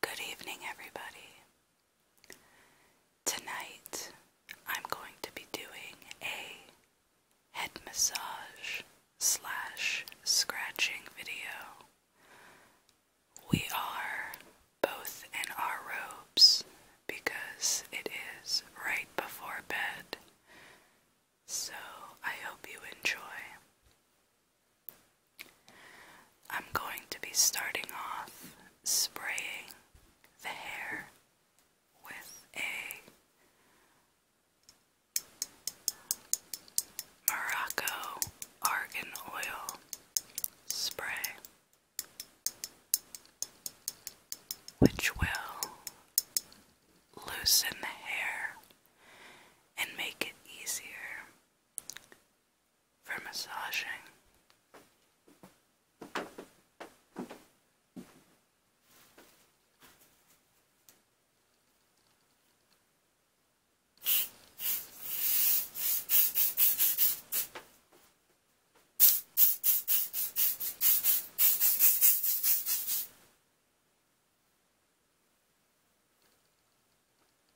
Good evening, everybody. Tonight I'm going to be doing a head massage slash scratching video. We are both in our robes because it is right before bed. So I hope you enjoy. I'm going to be starting off spraying the hair with a Morocco argan oil spray, which will loosen the hair and make it easier for massaging.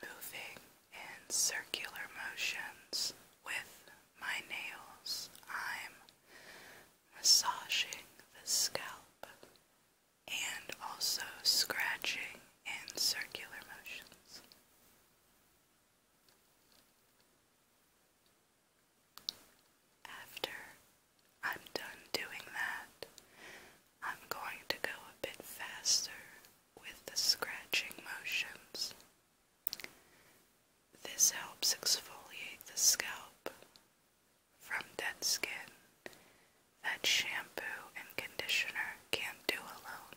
Moving in circular motions with my nails, I'm massaging the scalp, and also scratching in circular motions. After I'm done doing that, I'm going to go a bit faster with the scratching motions. This helps exfoliate the scalp from dead skin that shampoo and conditioner can't do alone.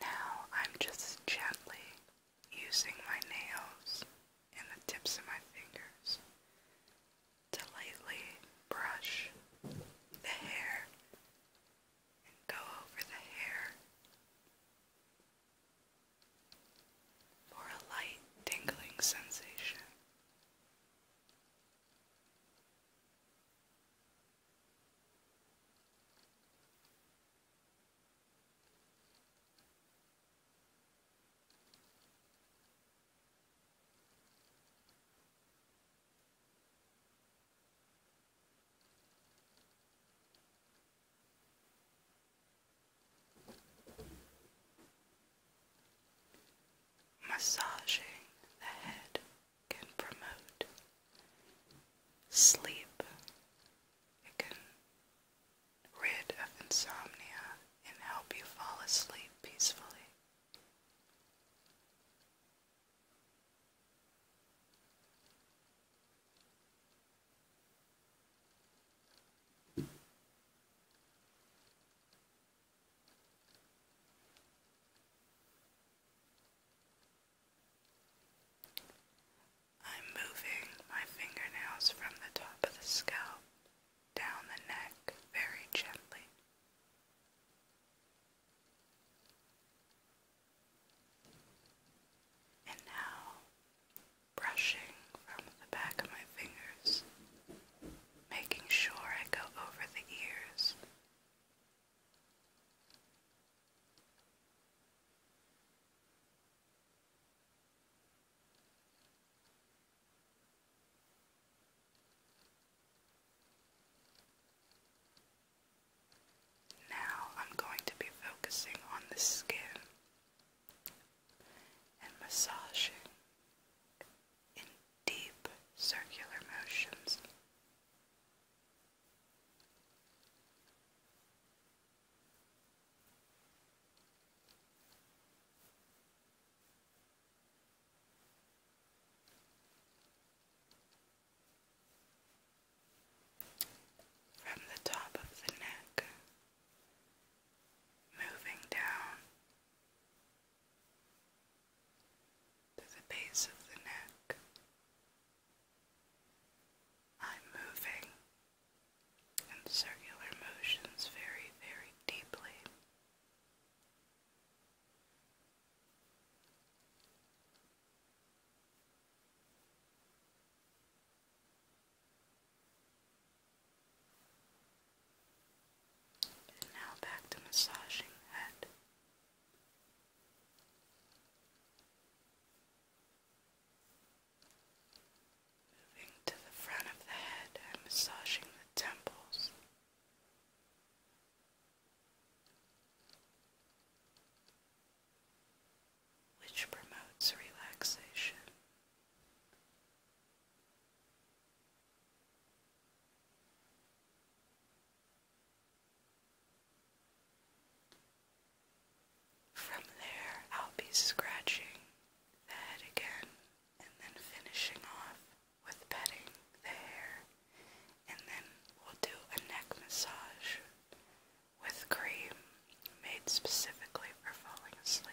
Now I'm just gently using my nails and the tips of my fingers to lightly brush the hair and go over the hair for a light tingling sensation. Massaging the head can promote sleep. It can rid of insomnia and help you fall asleep peacefully. I'm moving my fingernails from the top of the scalp down the neck very gently. And now, brushing from the back of my fingers, making sure I go over the ears. Now I'm going to be focusing on the skin and massaging in deep circular motions from the top of the neck, moving down to the base of the neck. I'm moving in circular motions very, very deeply now back to massaging head. Moving to the front of the head and massaging the temples which promotes relaxation. From there, I'll be scratching the again and then finishing off with petting the hair, and then we'll do a neck massage with cream made specifically for falling asleep.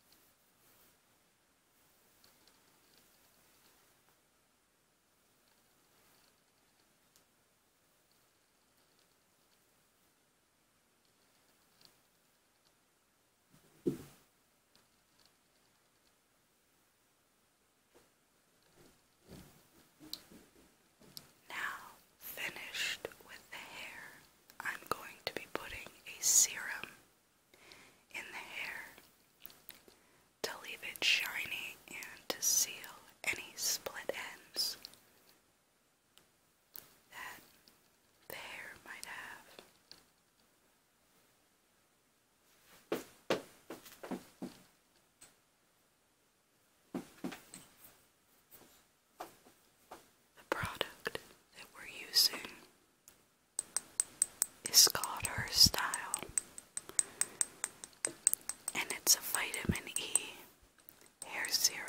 Now finished with the hair, I'm going to be putting a serum in the hair to leave it shiny and to seal any split ends that the hair might have. The product that we're using is called Her Style, and it's a vitamin E hair serum.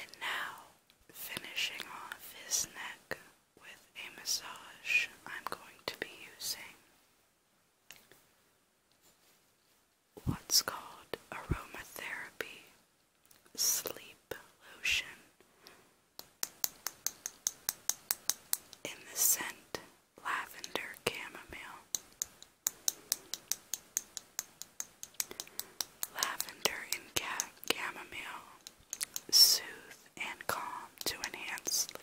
And now, finishing off his neck with a massage, I'm going to be using what's called aromatherapy sleep lotion in the scent lavender chamomile. Lavender and ca chamomile soothe and calm to enhance sleep.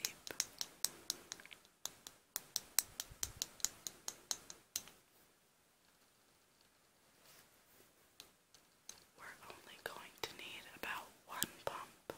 We're only going to need about one pump.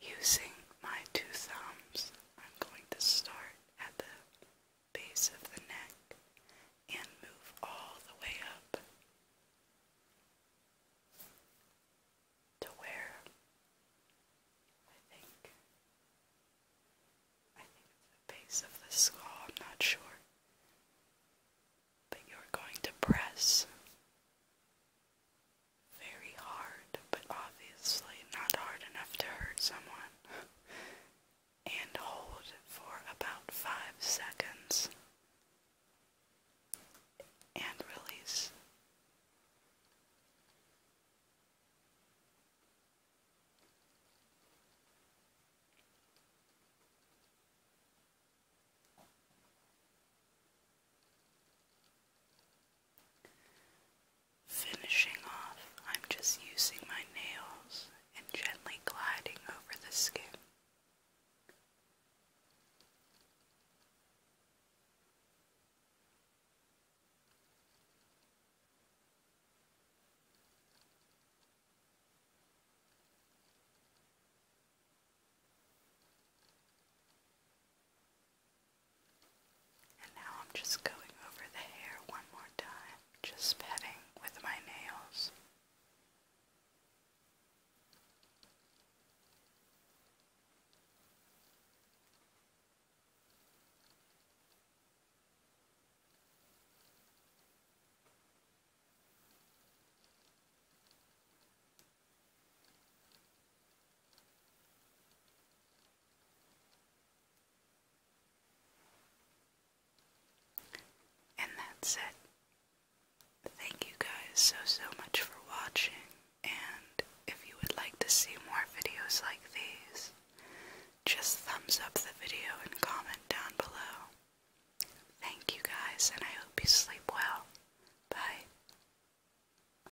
Using my two thumbs, I'm going to start at the base of the neck and move all the way up to where I think I think it's the base of the skull, I'm not sure. But you're going to press very hard, but obviously not hard enough to hurt someone, and hold for about five seconds and release. Finishing off, I'm just using my nails and gently gliding over the skin. And now I'm just going over the hair one more time, just petting with my nails. And that's it. Thank you guys so, so much for watching. And if you would like to see more videos like these, just thumbs up the video and comment down below. Thank you guys, and I hope you sleep well. Bye.